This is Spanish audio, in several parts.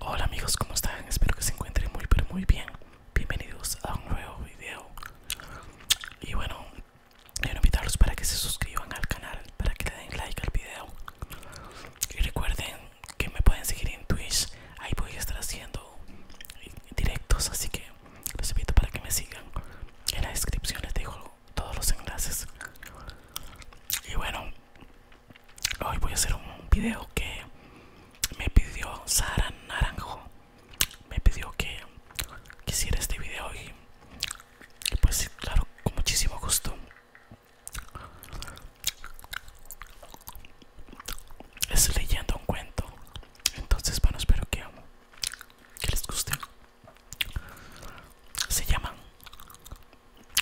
Hola amigos, ¿cómo están? Espero que se encuentren muy pero muy bien. Bienvenidos a un nuevo video. Y bueno, quiero invitarlos para que se suscriban al canal, para que le den like al video. Y recuerden que me pueden seguir en Twitch, ahí voy a estar haciendo directos, así que los invito para que me sigan. En la descripción les dejo todos los enlaces. Y bueno, hoy voy a hacer un video que me pidió Sara Naranjo. Me pidió que hiciera este video y, pues claro, con muchísimo gusto. Es leyendo un cuento entonces, bueno, espero que, que les guste. Se llama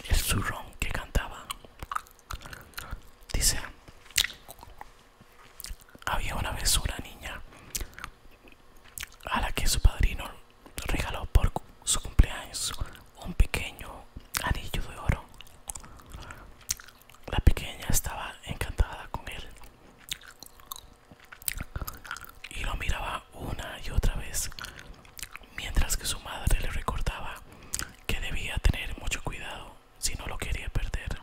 El zurrón que cantaba. Dice, había una vez una niña a la que su padrino regaló por su cumpleaños un pequeño anillo de oro. La pequeña estaba encantada con él y lo miraba una y otra vez, mientras que su madre le recordaba que debía tener mucho cuidado si no lo quería perder.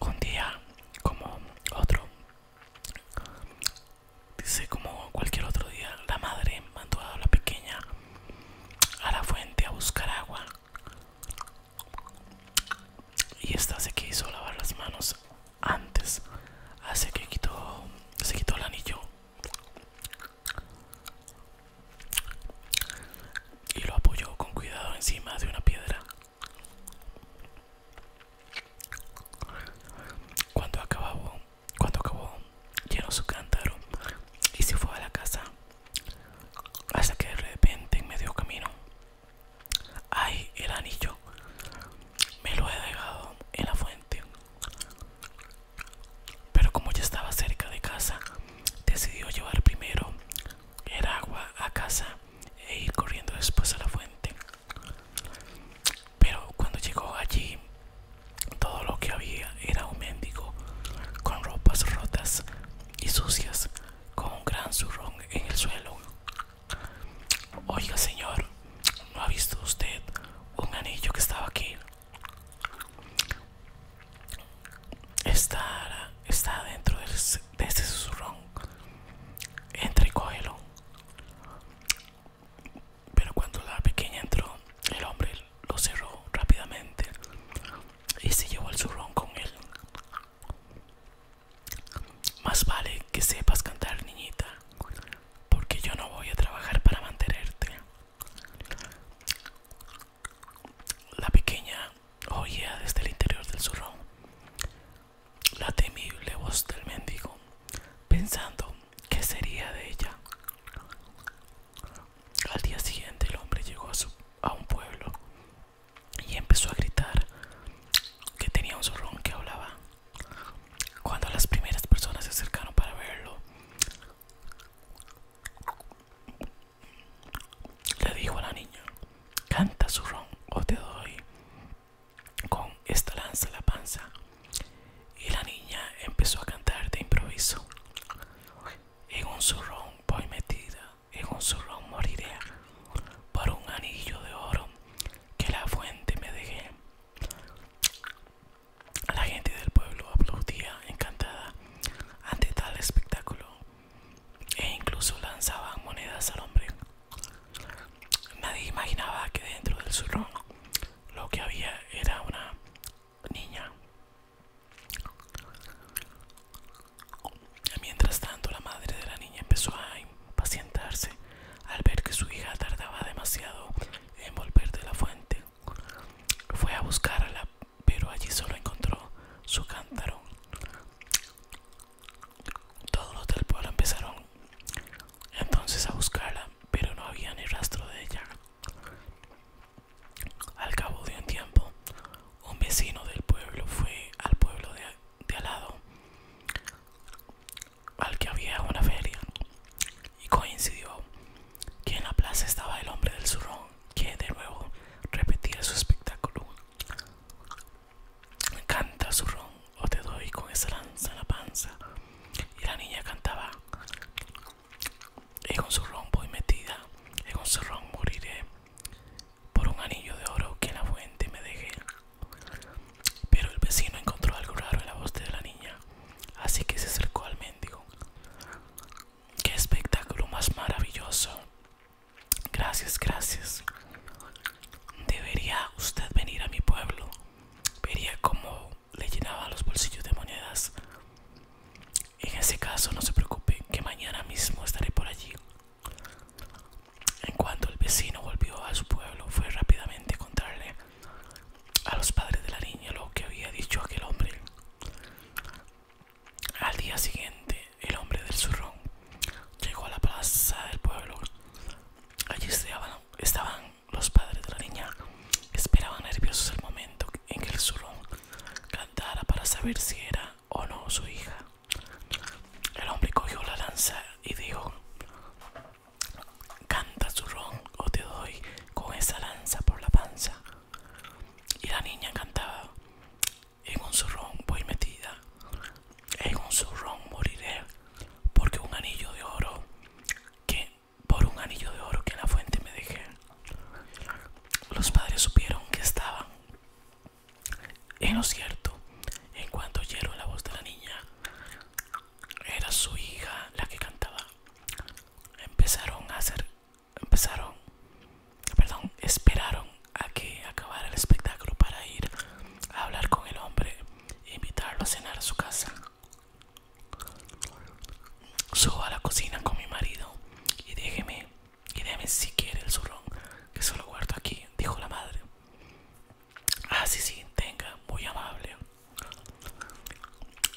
Un día, como otro, dice como cualquier otro día, la madre mandó a la pequeña a la fuente a buscar agua y esta se quiso lavar las manos antes hace que quitó se quitó el anillo y lo apoyó con cuidado encima de una piedra cuando acabó cuando acabó llenó su cántaro y se fue a la casa hasta que de repente en medio camino hay el anillo me lo he dejado en la fuente pero como ya estaba cerca de casa decidió llevar primero el agua a casa e ir corriendo después a la fuente pero cuando llegó allí todo lo que había era un mendigo con ropas rotas y sucias, con un gran zurrón en el suelo. Oiga, señor, ¿no ha visto usted un anillo que estaba aquí? Está, está dentro de ese, de zurrón. Entra Pero cuando la pequeña entró, el hombre lo cerró rápidamente y se llevó el zurrón con él. Más vale que sepas cantar, niñita, porque yo no voy a trabajar para mantenerte. La pequeña oía desde el interior del zurrón la temible voz del mendigo, pensando qué sería de ella. Al día siguiente el hombre llegó a, un pueblo y empezó a gritar que tenía un zurrón que hablaba. Cuando las primeras personas se acercaron para verlo, le dijo a la niña, canta zurrón o te doy con esta lanza la panza. Y la niña empezó a cantar de improviso. En un zurrón voy metida, en un zurrón moriré, por un anillo de oro que la fuente me dejé. La gente del pueblo aplaudía encantada ante tal espectáculo e incluso lanzaban monedas al hombre. Nadie imaginaba que dentro del zurrón lo que había era una niña Mientras tanto, la madre de la niña empezó a impacientarse al ver que su hija tardaba demasiado en volver de la fuente. Fue a buscarla, pero allí solo encontró su cántaro. Todos los del pueblo empezaron entonces a buscarla, pero no había ni rastro de ella. Al cabo de un tiempo, un vecino del pueblo fue al pueblo de, al lado, al que había una feria, y coincidió que en la plaza estaba el hombre del zurrón, que de nuevo repetía su espectáculo. Canta zurrón o te doy con esa lanza en la panza. Y la niña cantaba con su zorrón voy metida, en un zorrón moriré, por un anillo de oro que en la fuente me dejé. Pero el vecino encontró algo raro en la voz de la niña, así que se acercó al mendigo. ¡Qué espectáculo más maravilloso! Gracias, gracias. Debería usted venir a mi pueblo. Vería cómo le llenaba los bolsillos de monedas. En ese caso no se preocupe que mañana mismo estaré por allí. En cuanto el vecino volvió a su pueblo, fue rápidamente a contarle a los padres de la niña lo que había dicho aquel hombre. Al día siguiente, el hombre del zurrón llegó a la plaza del pueblo. Allí estaban los padres de la niña esperaban nerviosos el momento en que el zurrón cantara para saber si era o no su hija. El hombre cogió la lanza y dijo, canta zurrón o te doy con esa lanza por la panza. Y la niña cantaba, en un zurrón voy metida, en un zurrón moriré, porque un anillo de oro que por un anillo de oro que en la fuente me dejé. Los padres supieron que estaban en lo cierto. En cuanto oyeron la voz de la niña, era su hija la que cantaba. Empezaron a hacer, empezaron, perdón, esperaron a que acabara el espectáculo para ir a hablar con el hombre e invitarlo a cenar a su casa. Subo a la cocina con mi marido y déjeme, si quiere el zurrón, que solo guardo aquí, dijo la madre. Ah, sí, sí, tenga, muy amable.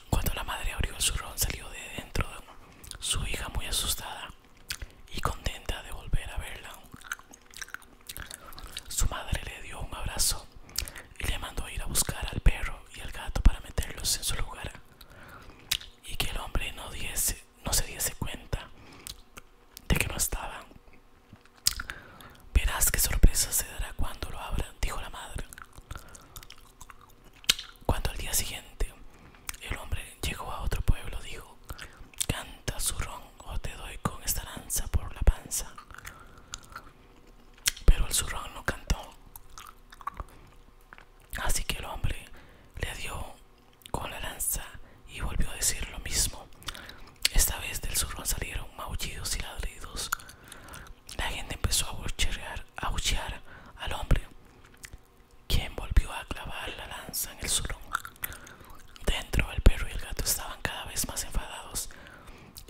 Cuando la madre abrió el zurrón salió de dentro su hija muy asustada y contenta de volver a verla. Su madre le dio un abrazo y le mandó ir a buscar al perro y al gato para meterlos en su lugar y que el hombre no, diese, no se diese cuenta de que no estaban. Verás qué sorpresa se dará cuando lo abran, dijo la madre. Cuando al día siguiente el hombre llegó a otro pueblo, dijo, canta zurrón o te doy con esta lanza por la panza pero el zurrón no cantó. Así que el hombre le dio con la lanza y volvió a decir lo mismo. Esta vez del zurrón salieron maullidos y ladridos. La gente empezó a aullar al hombre, quien volvió a clavar la lanza en el zurrón. Dentro el perro y el gato estaban cada vez más enfadados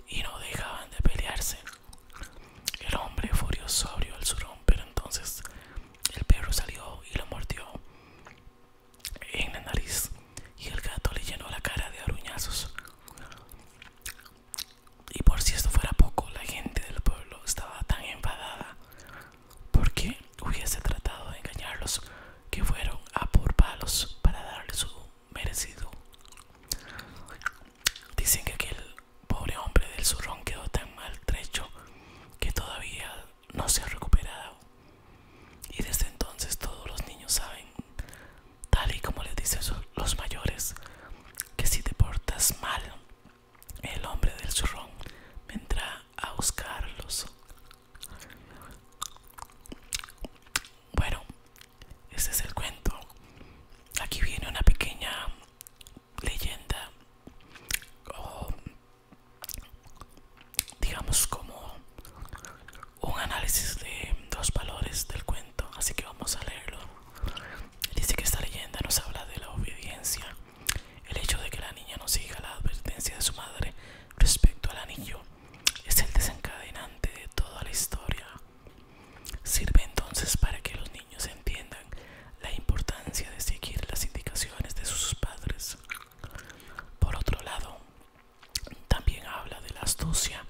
y no dejaban de pelearse. El hombre furioso abrió el surón, pero entonces el perro salió y lo mordió en la nariz y el gato le llenó la cara de aruñazos. Y por si esto fuera poco, la gente del pueblo estaba tan enfadada porque hubiese tratado de engañarlos que fueron a por palos para darle su merecido. Dicen que aquel pobre hombre del zurrón quedó tan maltrecho que todavía no se ha recuperado. Y desde entonces todos los niños saben, tal y como les dicen los mayores, que si te portas mal, el hombre del zurrón vendrá a buscarlos. Bueno, este es el cuento. Aquí viene una pequeña leyenda o digamos como un análisis de los valores del cuento, así que vamos a leerlo. Dice que esta leyenda nos habla de la obediencia, el hecho de que la niña no siga la advertencia de su madre respecto al anillo es el desencadenante de toda la historia. Sirve entonces para que los niños entiendan la importancia de seguir las indicaciones de sus padres. Por otro lado, también habla de la astucia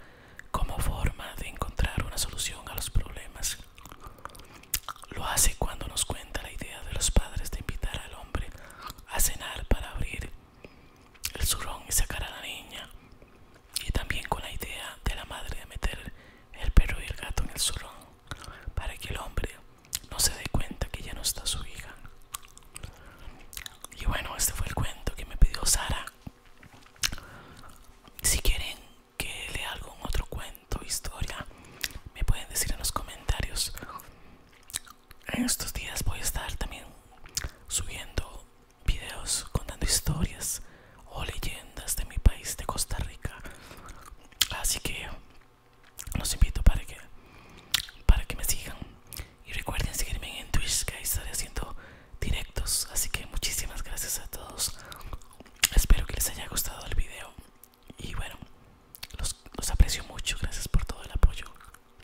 como forma de encontrar una solución a los problemas. Lo hace cuando nos cuenta la idea de los padres de invitar al hombre a cenar para abrir el zurrón y sacar a la niña y también con la idea de la madre de meter el perro y el gato en el zurrón para que el hombre no se dé cuenta que ya no está su hija y bueno este fue el cuento que me pidió Sara si quieren que lea algún otro cuento o historia me pueden decir en los comentarios en estos días voy a estar también subiendo videos contando historias o leyendas de mi país de Costa Rica así que los invito para que para que me sigan y recuerden seguirme en Twitch que ahí estaré haciendo directos así que muchísimas gracias a todos espero que les haya gustado el video y bueno los, los aprecio mucho gracias por todo el apoyo